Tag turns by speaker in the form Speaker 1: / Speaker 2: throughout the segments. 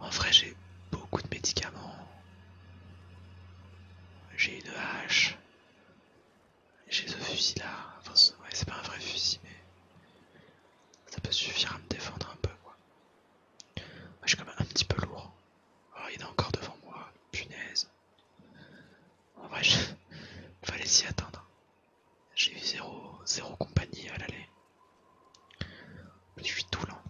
Speaker 1: En vrai, j'ai beaucoup de médicaments. J'ai une hache. J'ai ce fusil là. Enfin, c'est pas un vrai fusil, mais ça peut suffire à me défendre un peu, quoi. je suis quand même un petit peu lourd. il est encore devant moi. Punaise. En vrai, fallait s'y attendre. J'ai eu zéro, zéro compagnie à l'aller. Je suis tout lent.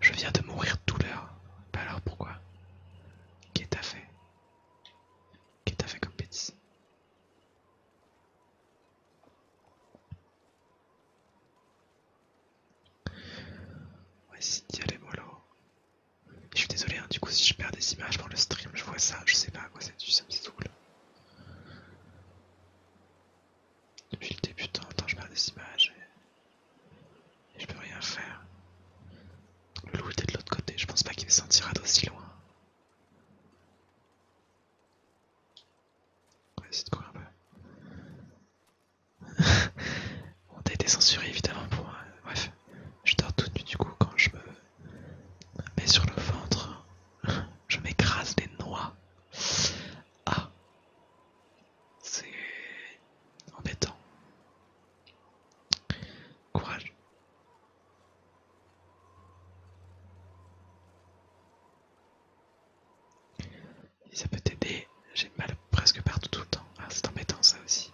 Speaker 1: Je viens de mourir tout l'heure. Bah alors pourquoi Qu'est-ce que t'as fait Qu'est-ce que t'as fait comme bêtise Ouais c'est essayer d'y aller mollo. Je suis désolé, hein, du coup, si je perds des images pendant le stream, je vois ça, je sais pas à quoi c'est du ça me là. Depuis le début de temps je perds des images et, je peux rien faire. Le loup était de l'autre côté, je pense pas qu'il le sentira d'aussi loin. On va essayer de un peu. On t'as été censuré évidemment pour. Euh, bref, je dors toute nuit du coup quand je me mais sur le ventre, je m'écrase des noix. Ah, c'est embêtant. Courage. Si ça peut t'aider, j'ai mal presque partout tout le temps. Ah, c'est embêtant ça aussi.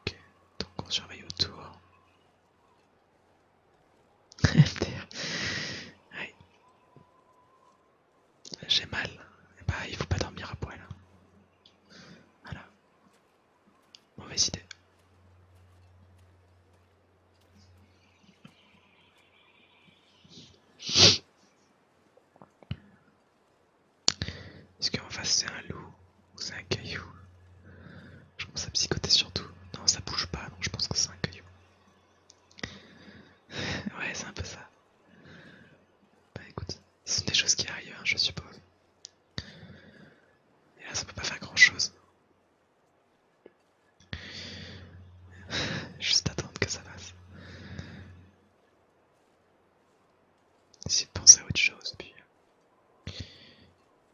Speaker 1: Ok, donc on surveille autour. ouais. J'ai mal. Il eh bah ben, il faut pas dormir à poil. Hein. Voilà. Mauvaise idée. Est-ce qu'en face c'est un loup ou c'est un caillou Je pense à psychoter surtout. Non, ça bouge pas, donc je pense que c'est un caillou. ouais, c'est un peu ça. Bah écoute, ce sont des choses qui arrivent, hein, je suppose. Et là, ça peut pas faire grand chose. Juste attendre que ça passe. J'essaie de penser à autre chose, puis,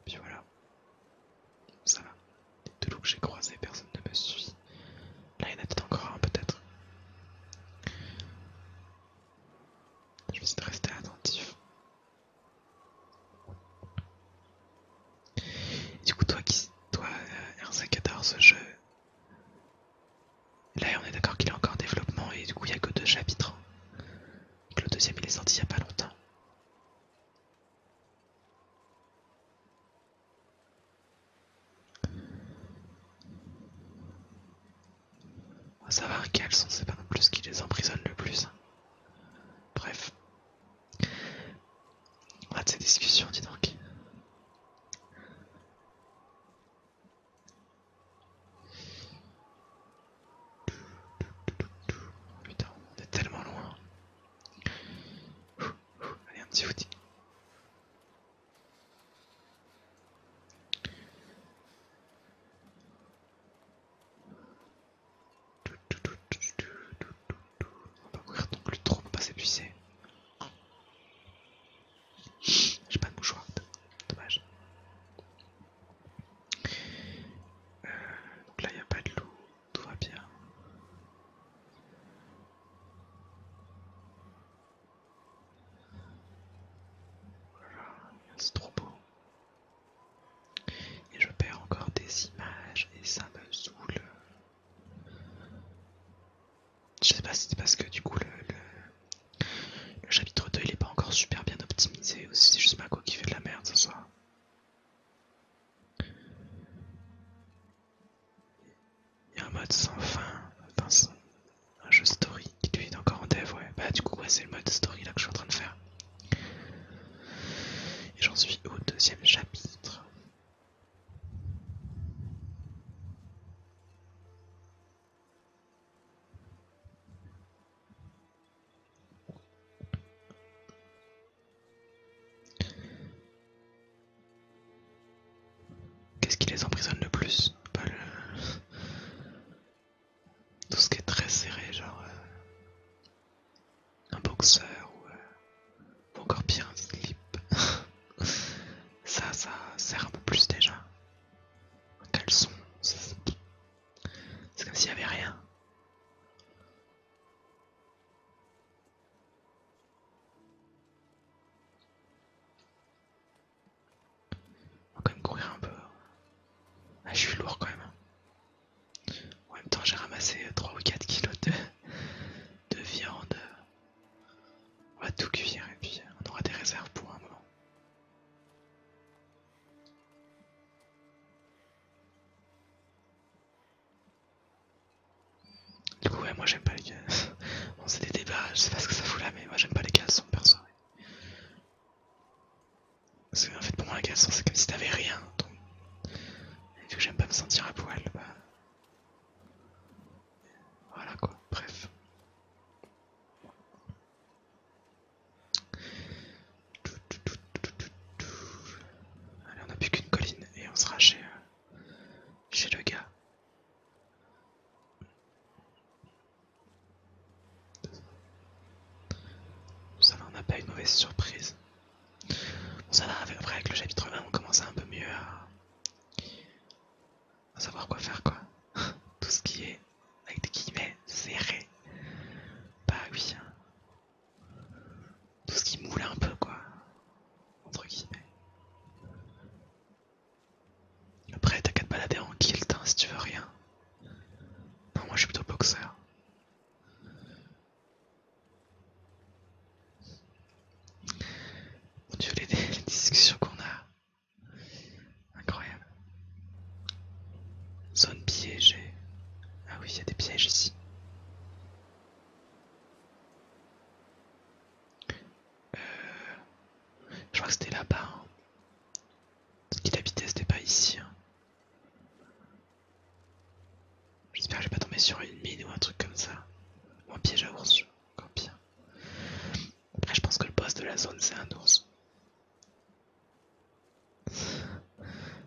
Speaker 1: puis voilà, ça va. deux loups que j'ai croisés, personne ne me suit. Là, il y en a peut-être encore un, peut-être. Je vais essayer de rester attentif. du coup, toi, qui, toi, euh, ce jeu, Là, on est d'accord qu'il est encore en développement et du coup, il n'y a que deux chapitres. que le deuxième, il est sorti il n'y a pas longtemps. On va savoir quels sont, c'est pas non plus ce qui les emprisonne le plus. Bref. On de ces discussions, dis donc. Putain, on est tellement loin. Allez, un petit outil. On va courir donc le trop pas s'épuiser. J'ai pas de mouchoir, dommage. donc euh, là, il n'y a pas de loup, tout va bien. Voilà, c'est trop beau. Et je perds encore des images et ça me saoule. Je sais pas si c'est parce que du coup le, le chapitre 2 il est pas encore super bien optimisé aussi, c'est juste Mako qui fait de la merde ce soir. Il y a un mode sans fin, enfin, un jeu story qui lui est encore en dev, ouais. Bah du coup c'est le mode story là que je suis en train de faire. Et j'en suis au deuxième chapitre. Qu'est-ce qui les emprisonne le plus Tout ce qui est très serré, genre euh, un boxeur ou, euh, ou encore pire un slip. ça, ça sert un peu plus déjà. Un sont C'est comme s'il n'y avait rien. On va quand même courir un peu. Ah, je suis lourd quand même. Hein. En même temps, j'ai ramassé 3 ou 4 kilos de, de viande. On va tout cuire et puis on aura des réserves pour un moment. Du coup, ouais, moi j'aime pas les cases. c'est des débats, je sais pas ce que ça fout là, mais moi j'aime pas les cases sans perso. Parce que, en fait, pour moi, la case c'est comme si t'avais rien. Donc... vu que j'aime pas me sentir à poil, bah. Voilà quoi, bref. Allez, on n'a plus qu'une colline et on sera chez, euh, le gars. Ça va, on n'a pas une mauvaise surprise. Bon, ça va, après avec le chapitre 1, on commence un peu mieux à, à savoir quoi faire quoi. Tout ce qui est avec des guillemets serré. pas bah oui. Hein. Tout ce qui moule un peu quoi. Entre guillemets. Après t'as qu'à te balader en kilt hein, si tu veux rien. moi je suis plutôt boxeur. Mon dieu les discussions qu'on a. Incroyable. Zone piégée. Ah oui, il y a des pièges ici. Euh, je crois que c'était là-bas. Hein. Ce qu'il habitait, c'était pas ici. Hein. J'espère que je vais pas tomber sur une mine ou un truc comme ça. Ou un piège à ours, encore pire. Après, je pense que le boss de la zone, c'est un ours.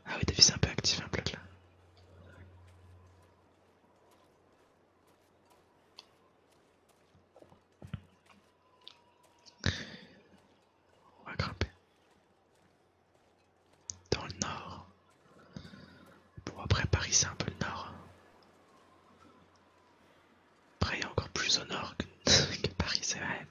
Speaker 1: Ah oui, t'as vu, c'est un peu actif, un bloc là. On va grimper. Dans le nord. Bon, après Paris, c'est un peu le nord. Après, encore plus au nord que, Paris, c'est vrai.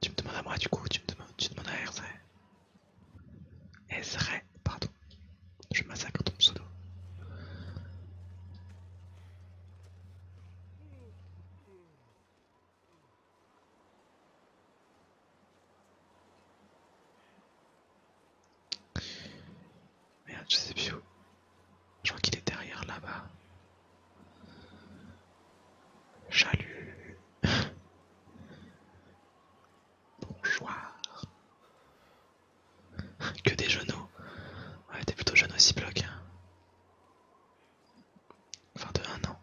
Speaker 1: Tu me demandes à moi, du coup, tu me demandes, à Ezra. Ezra, pardon. Je massacre ton pseudo. Merde, je sais plus où. Je crois qu'il est derrière là-bas. Chalut. Bonjour. Que des genoux. Ouais, t'es plutôt jeune aussi, bloc. Enfin de un an.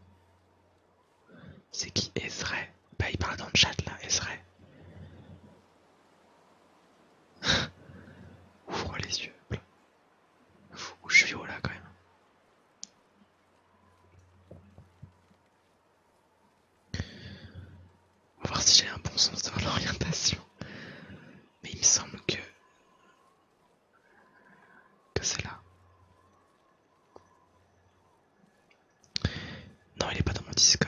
Speaker 1: C'est qui Ezray Bah il parle dans le chat là, Ezray. Ouvre les yeux. je suis haut là quand même. On va voir si j'ai un bon sens de l'orientation. Mais il me semble que... Que c'est là. Non, il n'est pas dans mon Discord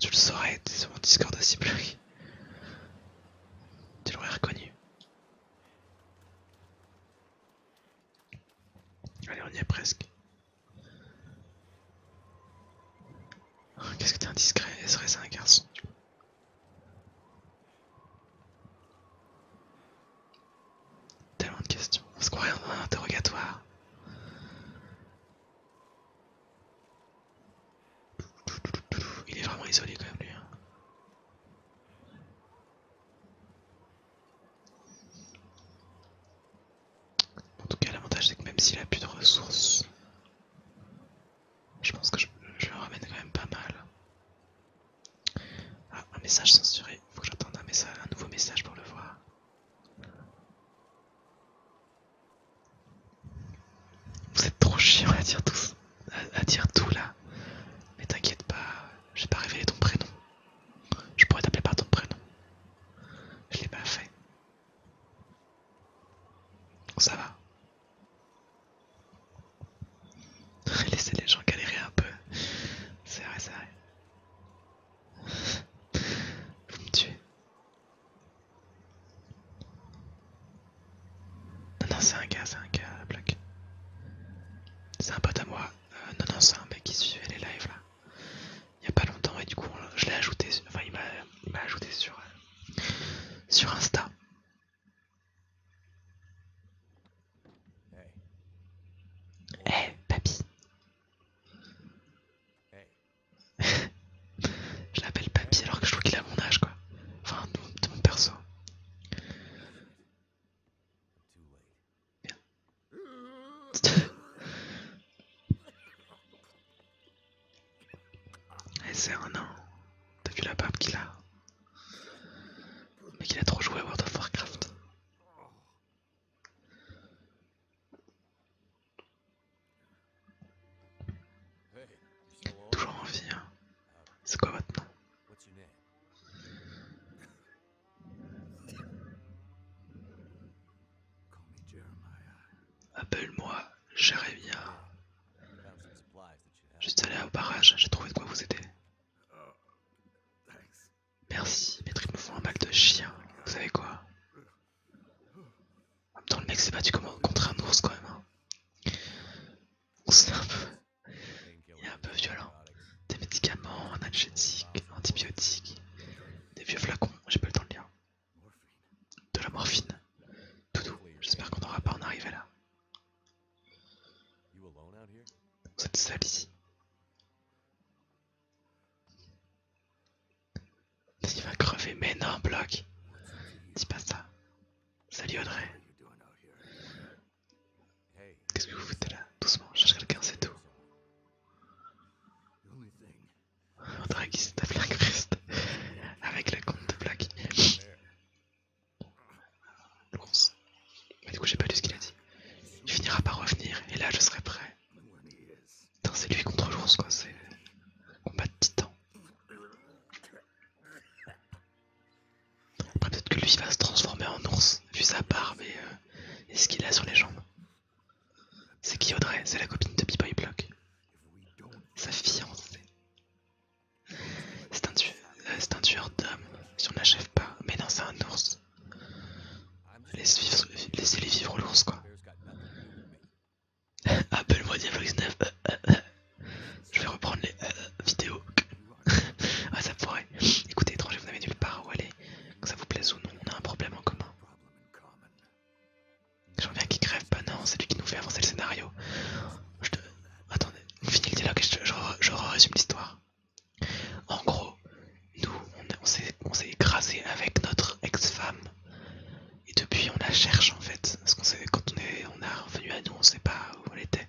Speaker 1: tu le saurais, c'est sur mon Discord de bloqué. Tu l'aurais reconnu. Allez, on y est presque. Oh, qu'est-ce que t'es indiscret, est ce que un garçon Tellement de questions, est-ce qu'on est dans un interrogatoire. Il est vraiment isolé quand même lui. Hein. En tout cas l'avantage c'est que même s'il a plus de ressources, je pense que je, le ramène quand même pas mal. Ah, un message censuré, faut que j'attende un nouveau message pour le voir. Vous êtes trop chiant à dire tout, à, dire tout là. Mais t'inquiète pas, j'ai pas révélé ton prénom. Je pourrais t'appeler par ton prénom. Je l'ai pas fait. Ça va. Laissez les gens galérer un peu. C'est vrai, c'est vrai. Vous me tuez. Non, non, c'est un gars, c'est un gars, bloc C'est un pote à moi. Euh, non, non, c'est un mec qui suivait les lives là. Il y a pas longtemps et du coup, je l'ai ajouté. Enfin, il m'a ajouté sur, euh, sur Insta. Eh, hey, papy. Hey. je l'appelle papy alors que je trouve qu'il a mon âge quoi. Enfin, de mon perso. Eh, c'est un an. T'as vu la barbe qu'il a Mais qu'il a trop joué à World of Warcraft. Toujours en vie. Hein. C'est quoi maintenant Appelle-moi Jeremiah. Je suis allé au barrage, j'ai trouvé de quoi vous aider. Merci, mes tripes me font un mal de chien. Vous savez quoi en même temps, le mec s'est battu contre un ours quand même. C'est hein. un peu. violent. Des médicaments, un antibiotiques, des vieux flacons, j'ai pas le temps de lire. De la morphine. Tout j'espère qu'on n'aura pas en arriver là. Vous êtes seul ici. Il va crever, mais non, bloc. Dis pas ça. Salut Audrey. Qu'est-ce que vous faites là Doucement, je cherche quelqu'un, c'est tout. Audrey qui se tape la Christ, avec la compte de bloc. du coup, j'ai pas lu ce qu'il a dit. Il finira par revenir et là, je serai prêt. Putain, c'est lui contre l'ours, quoi. C'est combat de titan. Après, peut-être que lui va se transformer en ours, vu sa barbe euh, et, ce qu'il a sur les jambes. C'est qui Audrey C'est la copine de Boy Block. Sa fiancée. C'est un, euh, c'est un tueur d'hommes, si on n'achève pas. Mais non, c'est un ours laissez-les vivre l'ours quoi. Appelle-moi Diablo 9 Je vais reprendre les euh, vidéos. ah ça pourrait. Écoutez étranger, vous n'avez nulle part où aller. Que ça vous plaise ou non, on a un problème en commun. J'en viens qui crève, pas. Bah non, c'est lui qui nous fait avancer le scénario. Je te... Attendez, finis le dialogue et je, je, je résume l'histoire. En gros, nous, on, s'est écrasé avec notre ex-femme. Et depuis, on la cherche en fait. Parce qu'on sait, quand on est, on a revenu à nous, on sait pas où elle était.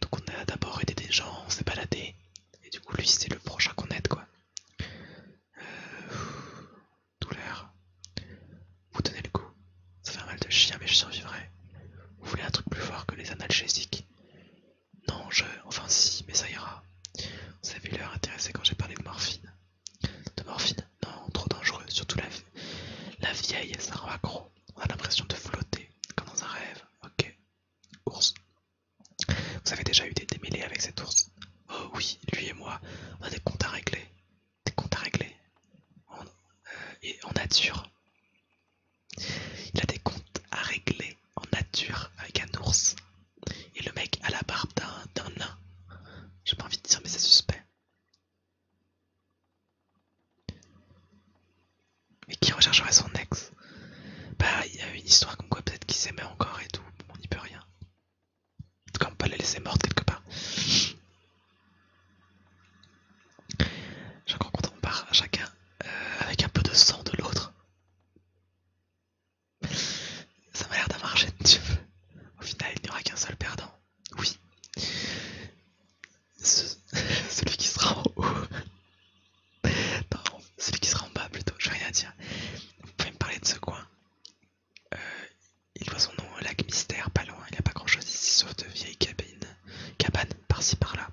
Speaker 1: Donc on a d'abord aidé des gens, on s'est baladé. Et du coup, lui, c'est le prochain qu'on aide quoi. douleur. Euh, Vous tenez le coup. Ça fait un mal de chien, mais je survivrai. Vous voulez un truc plus fort que les analgésiques Non, je. Enfin, si, mais ça ira. Vous avez l'air intéressé quand j'ai parlé de morphine. De morphine Non, trop dangereux, surtout la, la vieille, ça rend accro. On a l'impression de flotter, comme dans un rêve. Ok. Ours. Vous avez déjà eu des démêlés avec cet ours Oh oui, lui et moi, on a des comptes à régler. Des comptes à régler. Euh, et en nature. Il a des comptes à régler en nature avec un ours. Et le mec à la barbe d'un nain. J'ai pas envie de dire, mais c'est suspect. Mais qui rechercherait son ex Bah, il y a une histoire comme quoi peut-être qu'ils s'aimaient encore et tout. On n'y peut rien. En tout cas, on peut la laisser morte quelque part. J'ai encore content, part chacun euh, avec un peu de sang de l'autre. Ça m'a l'air d'un marché tu veux. Au final, il n'y aura qu'un seul perdant. Oui. Celui qui sera en haut. Non, celui qui sera en bas plutôt. Je n'ai rien à dire. Vous pouvez me parler de ce coin. Euh, il voit son nom au lac mystère, pas loin. Il n'y a pas grand chose ici sauf de vieilles cabines. Cabanes, par-ci par-là.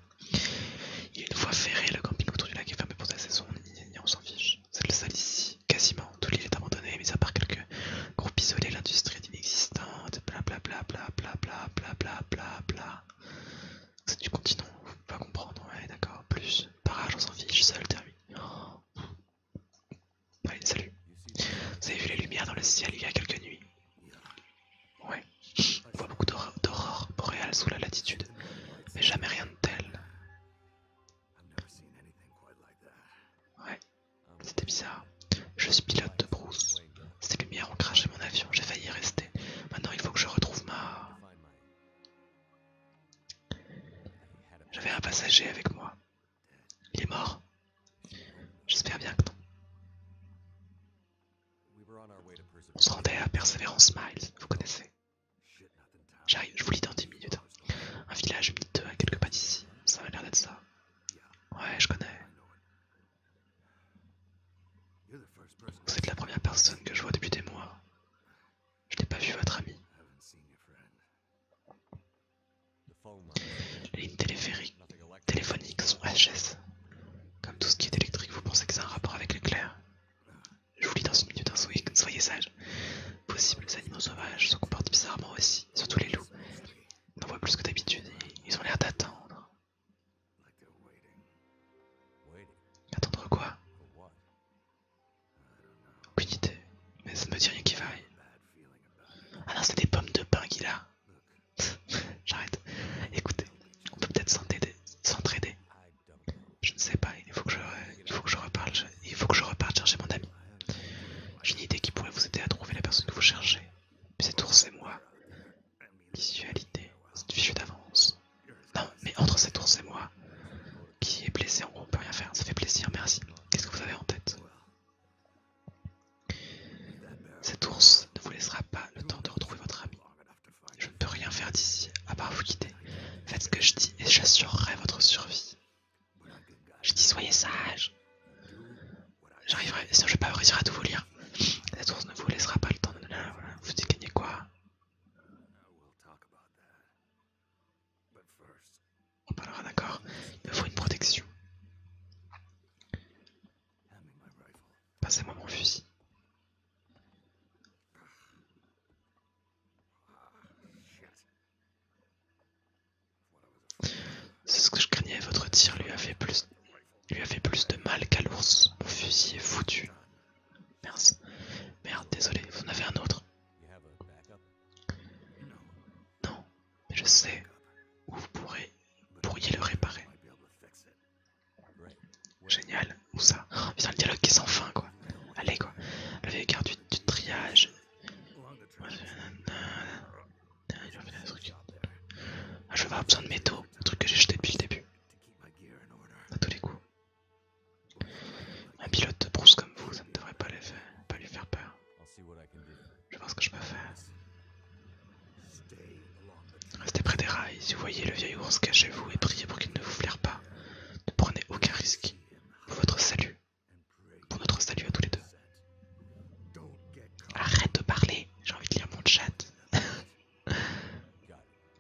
Speaker 1: Il y a une voie ferrée, le camping autour du lac est fermé pour la saison. Et on s'en fiche c'est le ici. Quasiment tout l'île est abandonnée, mis à part quelques groupes isolés, l'industrie est inexistante, bla bla bla bla bla bla bla bla bla bla. C'est du continent, vous pouvez pas comprendre, ouais d'accord, plus, barrage on s'en fiche, seul termine. Oh. salut. Vous avez vu les lumières dans le ciel il y a quelques nuits Ouais, on voit beaucoup d'aurores boréales sous la latitude, mais jamais rien de tel. Ouais, c'était bizarre. Je suis pilote de Bruce. Ces lumières ont craché mon avion, j'ai failli rester. Maintenant, il faut que je retrouve ma... J'avais un passager avec moi. Il est mort. J'espère bien que non. On se rendait à Perseverance Miles, vous connaissez. J'arrive, je vous lis dans 10 minutes. Hein. Un village 2 à quelques pas d'ici, ça a l'air d'être ça. Ouais, je connais. Vous êtes la première personne que je vois depuis des mois. Je n'ai pas vu votre ami. Les lignes téléphoniques sont HS. Comme tout ce qui est électrique, vous pensez que c'est un rapport avec l'éclair je vous lis dans une minute, hein, soyez, soyez Possible, les animaux sauvages se comportent bizarrement aussi, surtout les loups. On en voit plus que d'habitude, ils ont l'air d'attendre. Attendre quoi Aucune idée, mais ça ne me dit rien qui vaille. Ah non, c'est des pommes de pain qui a. J'arrête. Écoutez, on peut peut-être s'entraider. Je ne sais pas, il faut que je, il faut que je reparte, il faut que je reparte chercher mon ami. J'ai une idée qui pourrait vous aider à trouver la personne que vous cherchez. cet ours et moi, visualité, c'est fichu d'avance. Non, mais entre cet ours et moi, qui est blessé, en gros, on peut rien faire, ça fait plaisir, merci. Qu'est-ce que vous avez en tête Cet ours ne vous laissera pas le temps de retrouver votre ami. Je ne peux rien faire d'ici, à part vous quitter. Faites ce que je dis et j'assurerai votre survie. Je dis soyez sage. J'arriverai, sinon je vais pas réussir à tout vous lire. La source ne vous laissera pas le temps de... voilà. Vous déclinez quoi On parlera d'accord. Il me faut une protection. Passez-moi mon fusil. C'est ce que je craignais, votre tir lui a fait plus, lui plus de mal qu'à l'ours. Mon fusil est foutu. Merde, désolé, vous en avez un autre. Non, mais je sais où vous pourrez, pourriez le réparer. Génial, où ça oh, le dialogue qui est sans fin quoi. Allez quoi. Le vieil garde du, triage. Ah, je vais avoir besoin de métaux, le truc que j'ai jeté depuis le début. tous les coups. Un pilote de brousse comme vous, ça ne devrait pas, les pas lui faire peur. Je voir ce que je peux faire. Restez près des rails, si vous voyez le vieil ours, cachez-vous et priez pour qu'il ne vous flaire pas ne prenez aucun risque pour votre salut, pour notre salut à tous les deux. Arrête de parler, j'ai envie de lire mon chat.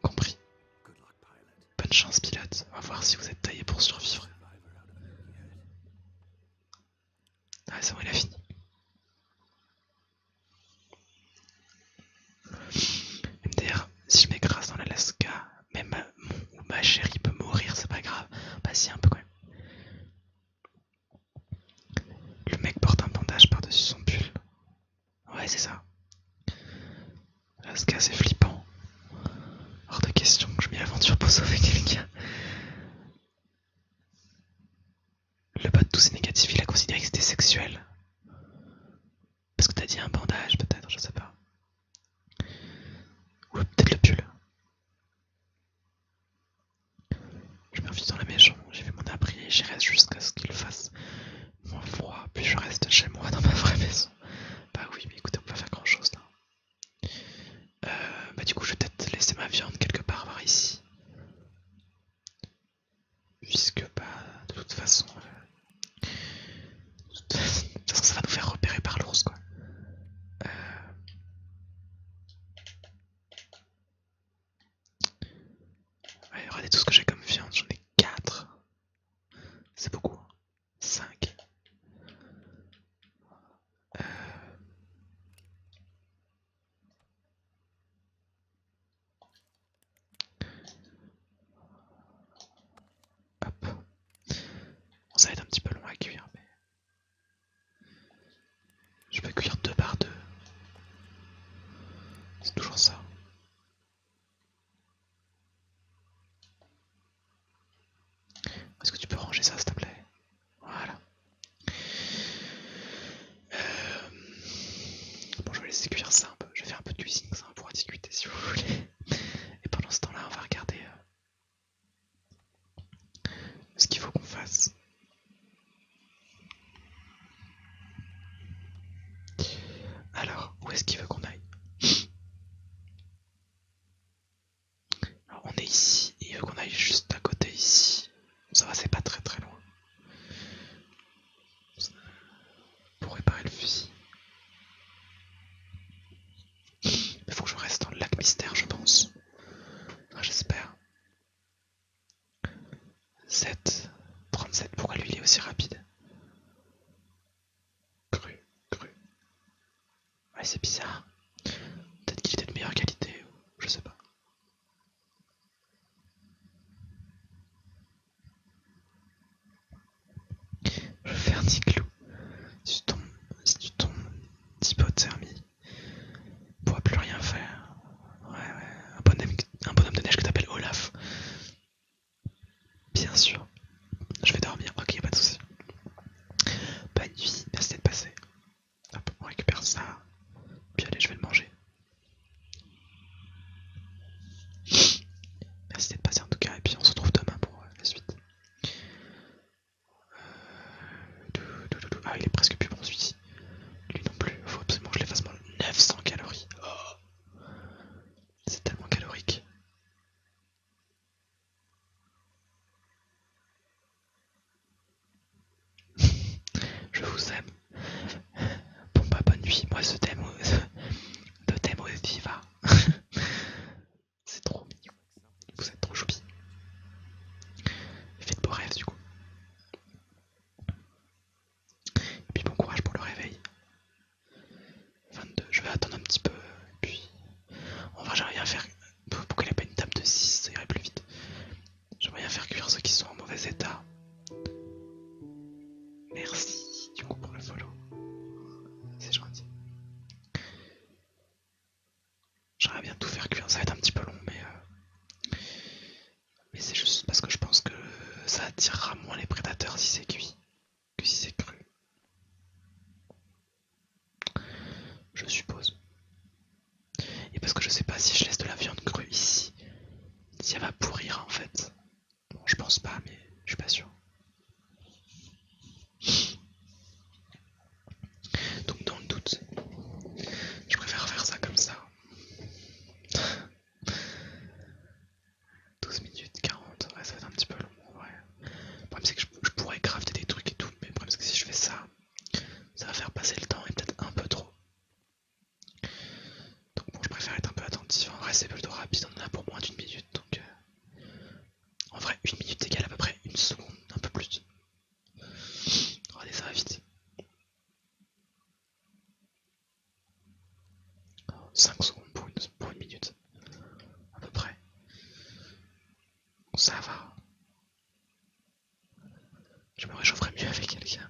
Speaker 1: Compris. Bonne chance pilote, on va voir si vous êtes taillé pour survivre. Ah c'est bon il fini. MDR, si je m'écrase dans l'Alaska, même ma, mon, ou ma chérie peut mourir, c'est pas grave. Bah si, un peu quand même. Le mec porte un bandage par-dessus son pull. Ouais, c'est ça. L'Alaska, c'est flippant. Hors de question que je m'y aventure pour sauver quelqu'un. Le bot de tous négatif, négatif, il a considéré que c'était sexuel. Parce que t'as dit un bandage, peut-être, je sais pas. Ou peut-être le pull. Je me refuse dans la maison, j'ai vu mon abri et j'y reste jusqu'à ce qu'il fasse moins froid. Puis je reste chez moi dans ma vraie maison. Bah oui, mais écoutez, on peut pas faire grand chose là. Euh, bah du coup, je vais peut-être laisser ma viande quelque part voir ici. Puisque, bah, euh, de toute façon, ça va nous faire repérer par l'ours, quoi. Euh... regardez tout ce que j'ai comme viande, j'en ai 4. C'est beaucoup. 5. Hein. Hop. ça être un petit peu loin à cuire, mais je peux cuire deux par deux. C'est toujours ça. Est-ce que tu peux ranger ça s'il te plaît Voilà. Euh, bon, je vais laisser cuire ça je vais faire un peu de cuisine, pour discuter si vous voulez. Et pendant ce temps-là, on va regarder euh, ce qu'il faut qu'on fasse. Alors, où est-ce qu'il veut qu'on aille on est ici, et il veut qu'on aille juste à côté ici. Ça va, c'est pas très très loin. Pour réparer le fusil. Il faut que je reste dans le lac mystère, je pense. J'espère. 7. 37. Pourquoi lui il est aussi rapide Cru, cru. c'est bizarre. Peut-être qu'il était de meilleure qualité, je sais pas. Je vais faire 10 clous. Si tu tombes, si tu tombes, d'hypothermie, on pourra plus rien faire. Ouais, ouais, un bonhomme, de neige que t'appelles Olaf. Bien sûr. Je vais dormir, ok, pas de soucis. Bonne nuit, merci d'être passé. Hop, on récupère ça. Puis allez, je vais le manger. Merci d'être passé en tout cas, et puis on se retrouve demain pour euh, la suite. Euh, ah, il est presque plus bon celui Lui non plus, faut absolument que je l'efface. 900 calories. Oh. C'est tellement calorique. je vous aime. Bon bah bonne nuit, moi ce thème, de euh, thème au C'est trop mignon, vous êtes trop choupi. Faites beaux rêves du coup. Et puis bon courage pour le réveil. 22, je vais attendre un petit peu, puis... Enfin va rien à faire... Pourquoi il n'y a pas une table de 6 Ça irait plus vite. J'aimerais rien faire cuire ceux qui sont en mauvais état. Merci du coup pour le follow. C'est gentil. J'aimerais bien tout faire cuire, ça va être un petit peu long, mais, euh, mais c'est juste parce que je pense que ça attirera moins les prédateurs si c'est cuit que si c'est cru. Je suppose. Et parce que je sais pas si je laisse de la viande crue ici, si elle va pourrir en fait je pense pas, mais je suis pas sûr. Donc dans le doute, je préfère faire ça comme ça. 12 minutes 40, ça va être un petit peu long. Le problème c'est que je, je pourrais crafter des trucs et tout, mais le problème c'est que si je fais ça, ça va faire passer le temps et peut-être un peu trop. Donc bon, je préfère être un peu attentif. Hein. En vrai, c'est plutôt rapide. On en a pour moins d'une minute. Donc euh, en vrai, une minute égale à peu près une seconde, un peu plus. Regardez, ça va vite. 5 secondes pour une, une minute, à peu près. Ça va. Je me réchaufferais mieux avec quelqu'un.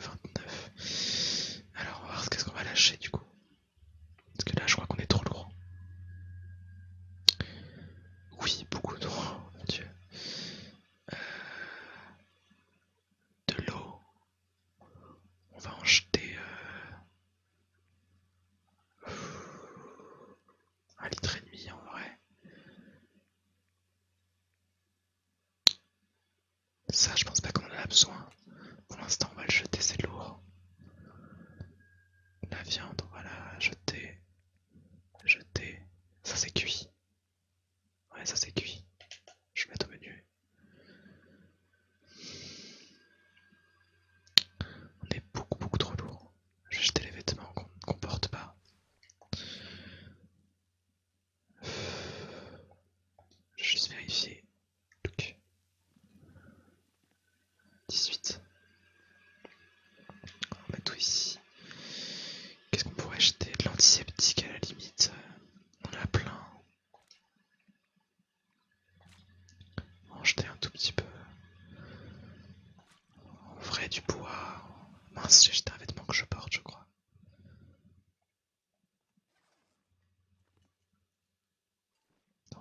Speaker 1: 29. Alors, on va voir qu'est-ce qu'on va lâcher du coup. Parce que là, je crois qu'on est trop lourd. Oui, beaucoup trop, mon dieu. Euh, de l'eau. On va en jeter euh, un litre et demi en vrai. Ça je pense pas qu'on en a besoin. Pour l'instant on va le jeter, c'est lourd. La viande, voilà, jeter. Jeter. Ça c'est cuit. Ouais ça c'est cuit. Je vais mettre au menu. On est beaucoup beaucoup trop lourd. Je vais jeter les vêtements qu'on ne porte pas. Je vais juste vérifier. 18. On va tout ici. Qu'est-ce qu'on pourrait acheter De l'antiseptique à la limite. On a plein. On va en jeter un tout petit peu. on vrai, du bois. Mince, j'ai jeté un vêtement que je porte, je crois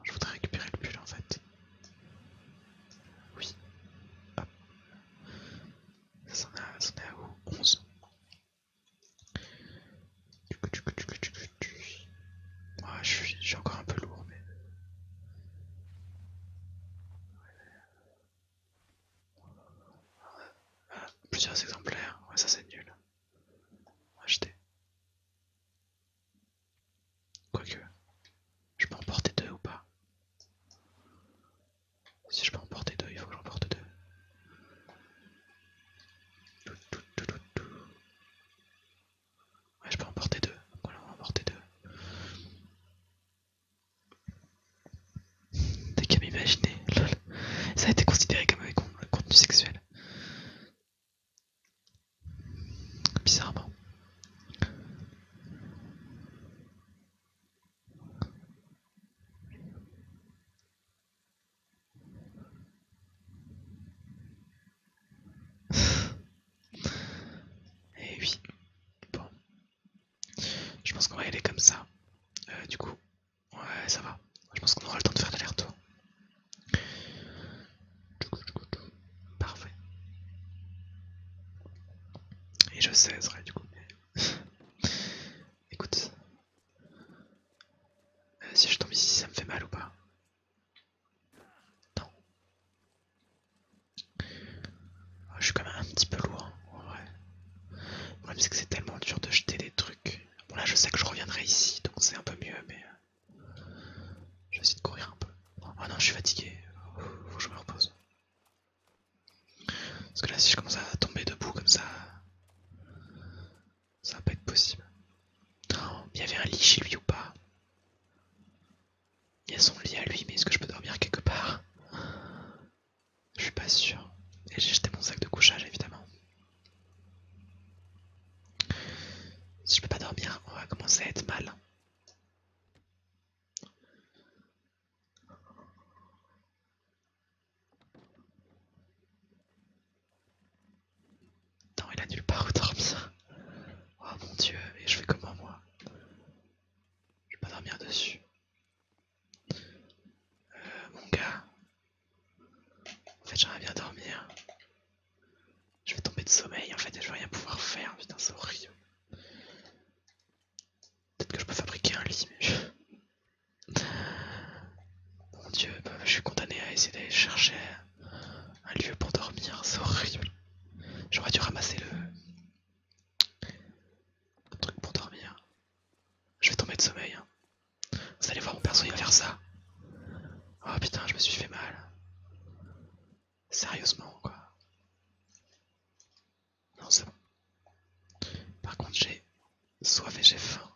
Speaker 1: je voudrais récupérer le pull en fait. Oui. Hop. Ça en a, ça en a où 11. Oh, je, suis, je suis encore un peu lourd, mais. Plusieurs exemplaires, ouais, ça c'est nul. Acheter. Quoique, je peux en porter deux ou pas Si je peux en porter deux, il faut que j'en porte deux. Ouais, je peux en porter deux. Voilà, on va deux. T'es qu'à m'imaginer, lol. Ça a été considéré comme un contenu sexuel. Bizarrement. Et eh oui, bon, je pense qu'on va y aller comme ça. Euh, du coup, ouais, ça va. Je pense qu'on aura le temps de faire l'aller-retour. Parfait. Et je sais, vrai, du coup. Écoute. Euh, si je tombe ici, ça me fait mal ou pas Non. Ah, je suis quand même un petit peu lourd, en vrai. Le problème, c'est que c'est tellement dur de jeter des trucs. Bon, là, je sais que je reviendrai ici, donc c'est un peu mieux, mais. Euh, je de courir un peu. Oh non, je suis fatigué. Faut que je me repose. Parce que là, si je commence à tomber debout comme ça, ça va pas être possible. il y avait un lit chez lui ou pas Il y a son lit à lui, mais est-ce que je peux dormir quelque part je suis pas sûr. Et j'ai jeté mon sac de couchage évidemment. Si je peux pas dormir, on va commencer à être mal. Attends, il a nulle part où dormir. Oh mon dieu, et je fais comment moi Je peux pas dormir dessus. Euh, mon gars, en fait j'aimerais bien dormir. Je vais tomber de sommeil en fait et je vais rien pouvoir faire. Putain, c'est horrible. Peut-être que je peux fabriquer un lit, mais Mon dieu, bah, je suis condamné à essayer d'aller chercher un lieu pour dormir, c'est horrible. J'aurais dû ramasser le, un truc pour dormir. Je vais tomber de sommeil. Hein. Vous allez voir mon perso, il va faire ça. Oh putain, je me suis fait mal. Sérieusement, quoi. Non, c'est bon. Par contre, j'ai soif et j'ai faim.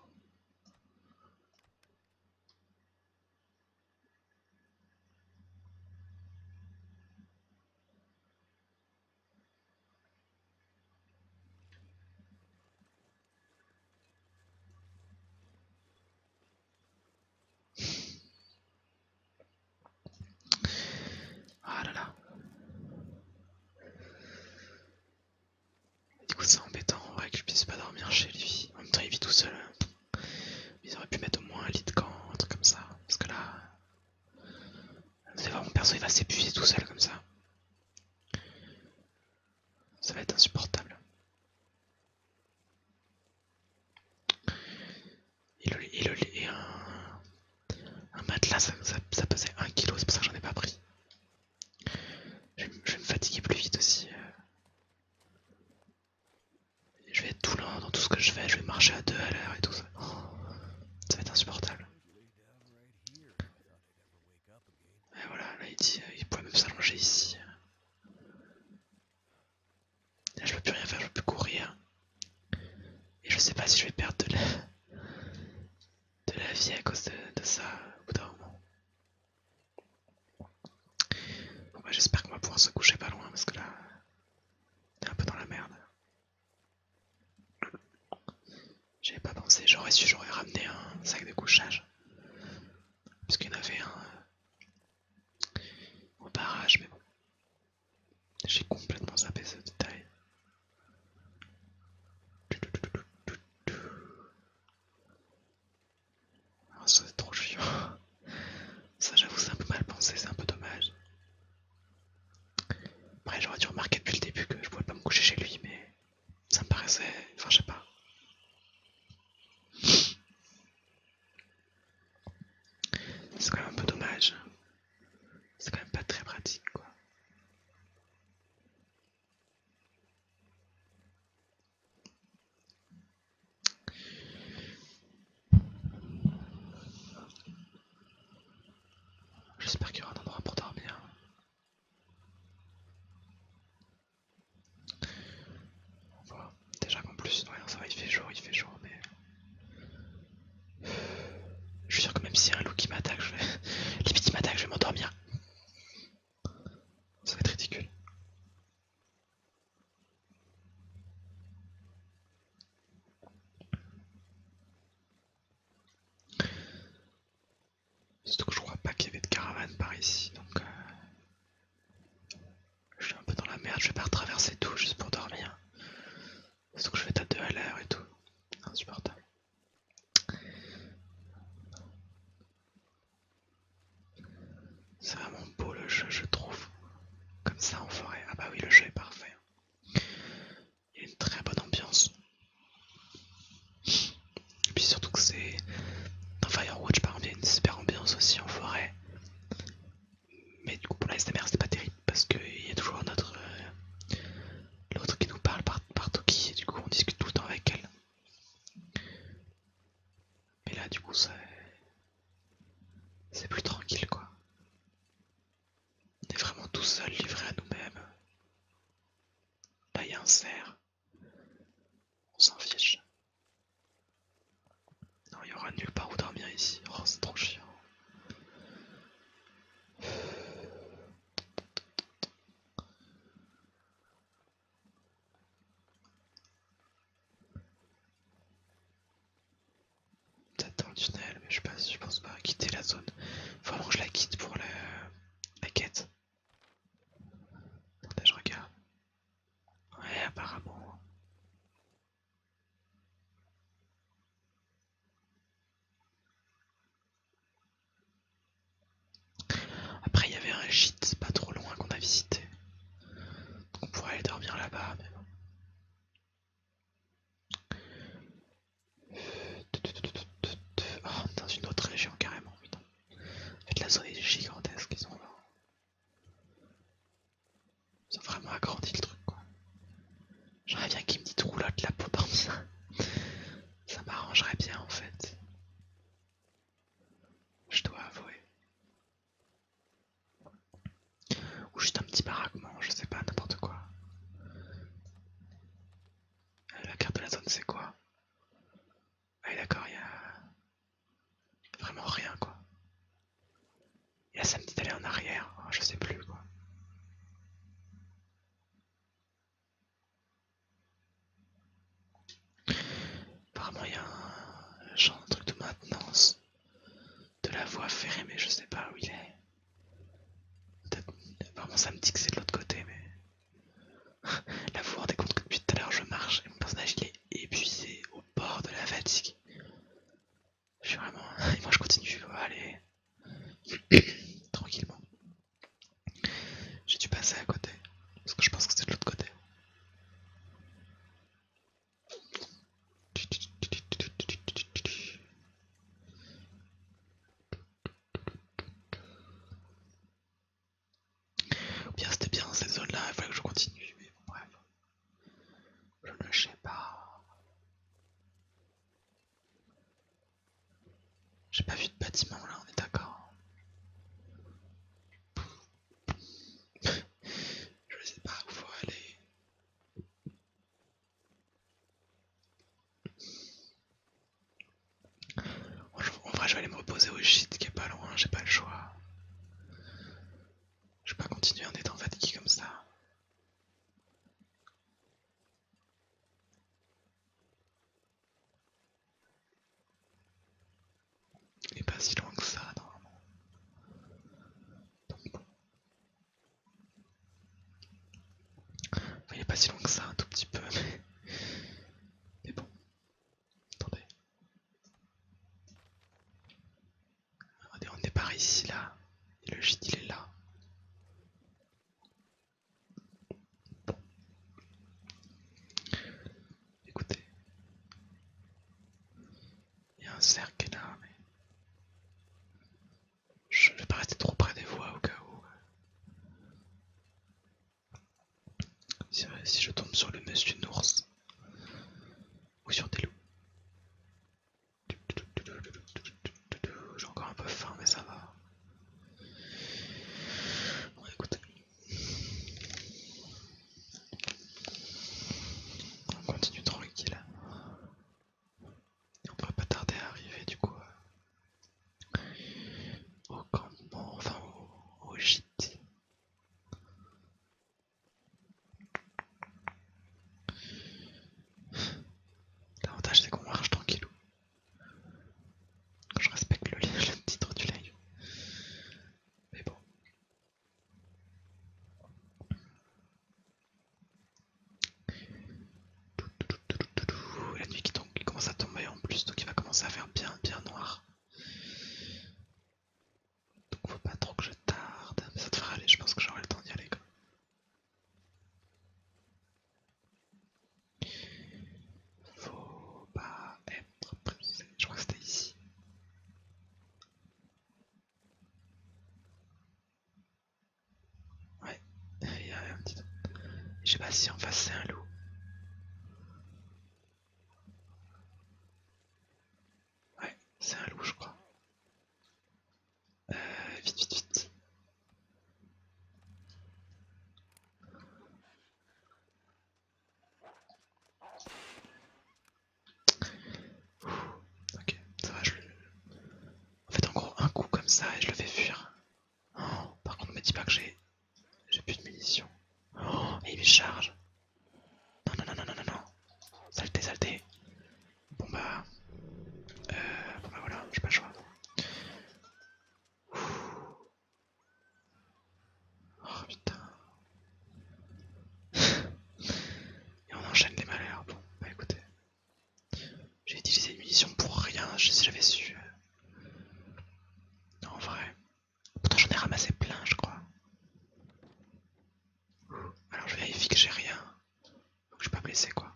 Speaker 1: Ah là là. Du coup c'est embêtant vrai que je puisse pas dormir chez lui. En même temps il vit tout seul. Ils auraient pu mettre au moins un lit de camp, un truc comme ça. Parce que là, c'est voir mon perso il va s'épuiser tout seul comme ça. Ça va être insupportable. Et, le, un, matelas, ça, pesait 1 kg, c'est pour ça que j'en ai pas pris. Je, vais me fatiguer plus vite aussi. Euh. Je vais être tout lent dans tout ce que je fais, je vais marcher à deux à l'heure et tout ça. Oh ça va être insupportable. Et voilà, là il dit, euh, pourrait même s'allonger ici. Là je peux plus rien faire, je peux plus courir. Et je sais pas si je vais perdre de la, vie à cause de, ça au bout d'un moment. Bon bah, j'espère qu'on va pouvoir se coucher pas loin parce que là, est un peu dans la merde. J'avais pas pensé, j'aurais su, j'aurais ramené un sac de couchage. Parce qu'il y en avait un euh, au barrage, mais bon. J'ai complètement zappé ce détail. Ah, ça c'est trop chiant. Ça j'avoue c'est un peu mal pensé, c'est un peu dommage. Après, j'aurais dû remarquer depuis le début que je pouvais pas me coucher chez lui, mais ça me paraissait. Enfin, je sais pas. C'est quand même un peu dommage. C'est quand même pas très pratique, quoi. J'espère qu'il y aura un endroit pour dormir. déjà qu'en plus, il fait jour, il fait jour, mais. Je suis sûr que même s'il y a un loup qui m'attaque, je vais. m'attaque, je vais m'endormir. Ça va être ridicule. Surtout que je crois pas qu'il y avait de caravane par ici, donc euh, je suis un peu dans la merde, je vais pas retraverser tout juste pour dormir. Surtout que je vais à de à l'heure et tout, insupportable. C'est vraiment beau le jeu, je trouve. Comme ça en forêt. Ah bah oui, le jeu est parfait. Il y a une très bonne ambiance. Et puis surtout que c'est. Dans Firewatch, par exemple, il y a une super ambiance aussi en forêt. Mais du coup, pour la SMR, c'est pas terrible parce qu'il y a toujours notre. Euh, l'autre qui nous parle par, par Toki, et du coup, on discute tout le temps avec elle. Mais là, du coup, c'est. C'est plus tranquille quoi. On est vraiment tout seul, livré à nous-mêmes. Là, il un cerf. On s'en fiche. Non, il y aura nulle part où dormir ici. Oh, c'est trop chiant dans le tunnel, mais je pense pas quitter la zone. Faut vraiment que je la quitte pour la, la quête. je regarde. Ouais, apparemment. Après, il y avait un gîte pas trop loin qu'on a visité. on pourrait aller dormir là-bas, mais bon. Oh, dans une autre région carrément, putain. la zone gigantesque, ils ont vraiment agrandi le truc, quoi. J'aimerais bien qu'ils me disent de la peau parmi ça. Ça m'arrangerait bien en fait. Je dois avouer. Ou juste un petit baraquement, je sais pas, n'importe quoi. Euh, la carte de la zone c'est quoi Ah d'accord, il y a vraiment rien quoi. Il y a samedi d'aller en arrière, oh, je sais plus quoi. Apparemment il y a un genre truc de maintenance de la voix ferrée, mais je sais pas où il est. Vraiment, ça me dit que c'est de l'autre côté, mais. la voix vous rendez que depuis tout à l'heure, je marche et mon personnage il est épuisé au bord de la fatigue. Je suis vraiment. Et moi, je continue, allez. Tranquillement. J'ai dû passer à côté, parce que je pense que c'est de l'autre côté. Bien, c'était bien cette zone-là, il fallait que je continue, mais bon, bref. Je ne sais pas. J'ai pas vu de bâtiment là, on est d'accord. je sais pas où faut aller. En vrai, je vais aller me reposer au gîte qui est pas loin, j'ai pas le choix. Je vais pas continuer en étant fatigué comme ça. Il est pas si loin que ça, normalement. Il est pas si long que ça, un tout petit peu, mais, bon. Attendez. on est par ici, là. Et le gîte, il est là. Bon. Écoutez. Il y a un cercle qui est là, mais. Je vais pas rester trop près des voies au cas où. Si, je tombe sur le monsieur ours ou sur des loups. J'ai encore un peu faim, mais ça va. Bon, écoutez. On continue tranquille. Et on ne va pas tarder à arriver du coup euh, au campement, enfin au, gîte. L'avantage c'est qu'on marche tranquillou. Je respecte le, le titre du live. Mais bon, la nuit qui commence à tomber en plus, donc il va commencer à faire bien bien noir. Donc faut pas trop que je tarde, mais ça devrait aller, je pense que j'aurai le temps d'y aller. Faut pas être pressé, je crois que c'était ici. Ouais, il y a un petit... Je sais pas si en face c'est un loup. Ouais, c'est un loup je crois. Euh, vite, vite, vite ok, ça va, je le... En fait, en gros, un coup comme ça et je le fais fuir. Oh, par contre, ne me dis pas que j'ai... J'ai plus de munitions. Oh, et il me charge. Non, non, non, non, non, non, non. Saleté, saleté. Bon bah... Euh, bon bah voilà, j'ai pas le choix. Oh putain, et on enchaîne les malheurs. Bon, bah écoutez. J'ai utilisé une munition pour rien, si j'avais su. Non, en vrai. Pourtant j'en ai ramassé plein, je crois. Alors je vérifie que j'ai rien. Donc je suis pas blessé quoi.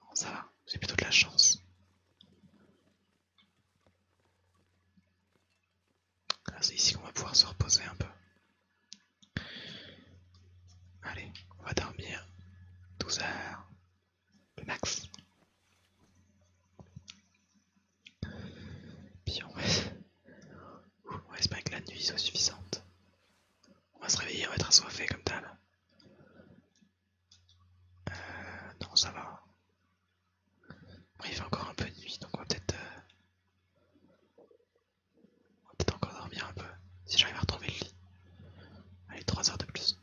Speaker 1: Bon, ça va, c'est plutôt de la chance. Ah, c'est ici qu'on va pouvoir se reposer un peu. Allez, on va dormir 12 heures, le max. Puis on va... espérer espère que la nuit soit suffisante. On va se réveiller, on va être assoiffé comme ça. Euh, non, ça va. il fait encore un peu de nuit, donc on va peut-être euh, on va peut-être encore dormir un peu, si j'arrive à retrouver le lit. Allez, 3 heures de plus.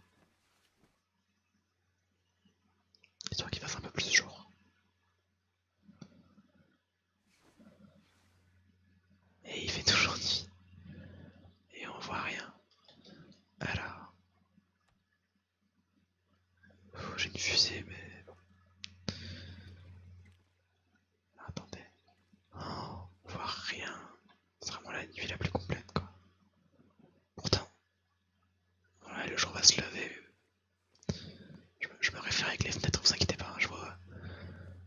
Speaker 1: Histoire qu'il fasse un peu plus jour. Et il fait toujours nuit. Et on voit rien. Alors j'ai une fusée, mais bon. Attendez. Oh, on voit rien. C'est vraiment la nuit la plus complète, quoi. Pourtant, le jour va se lever. Je, me réfère avec les fenêtres, vous inquiétez pas, hein, je vois.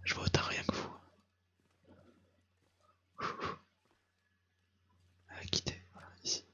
Speaker 1: Je vois autant rien que vous. quitter, ici.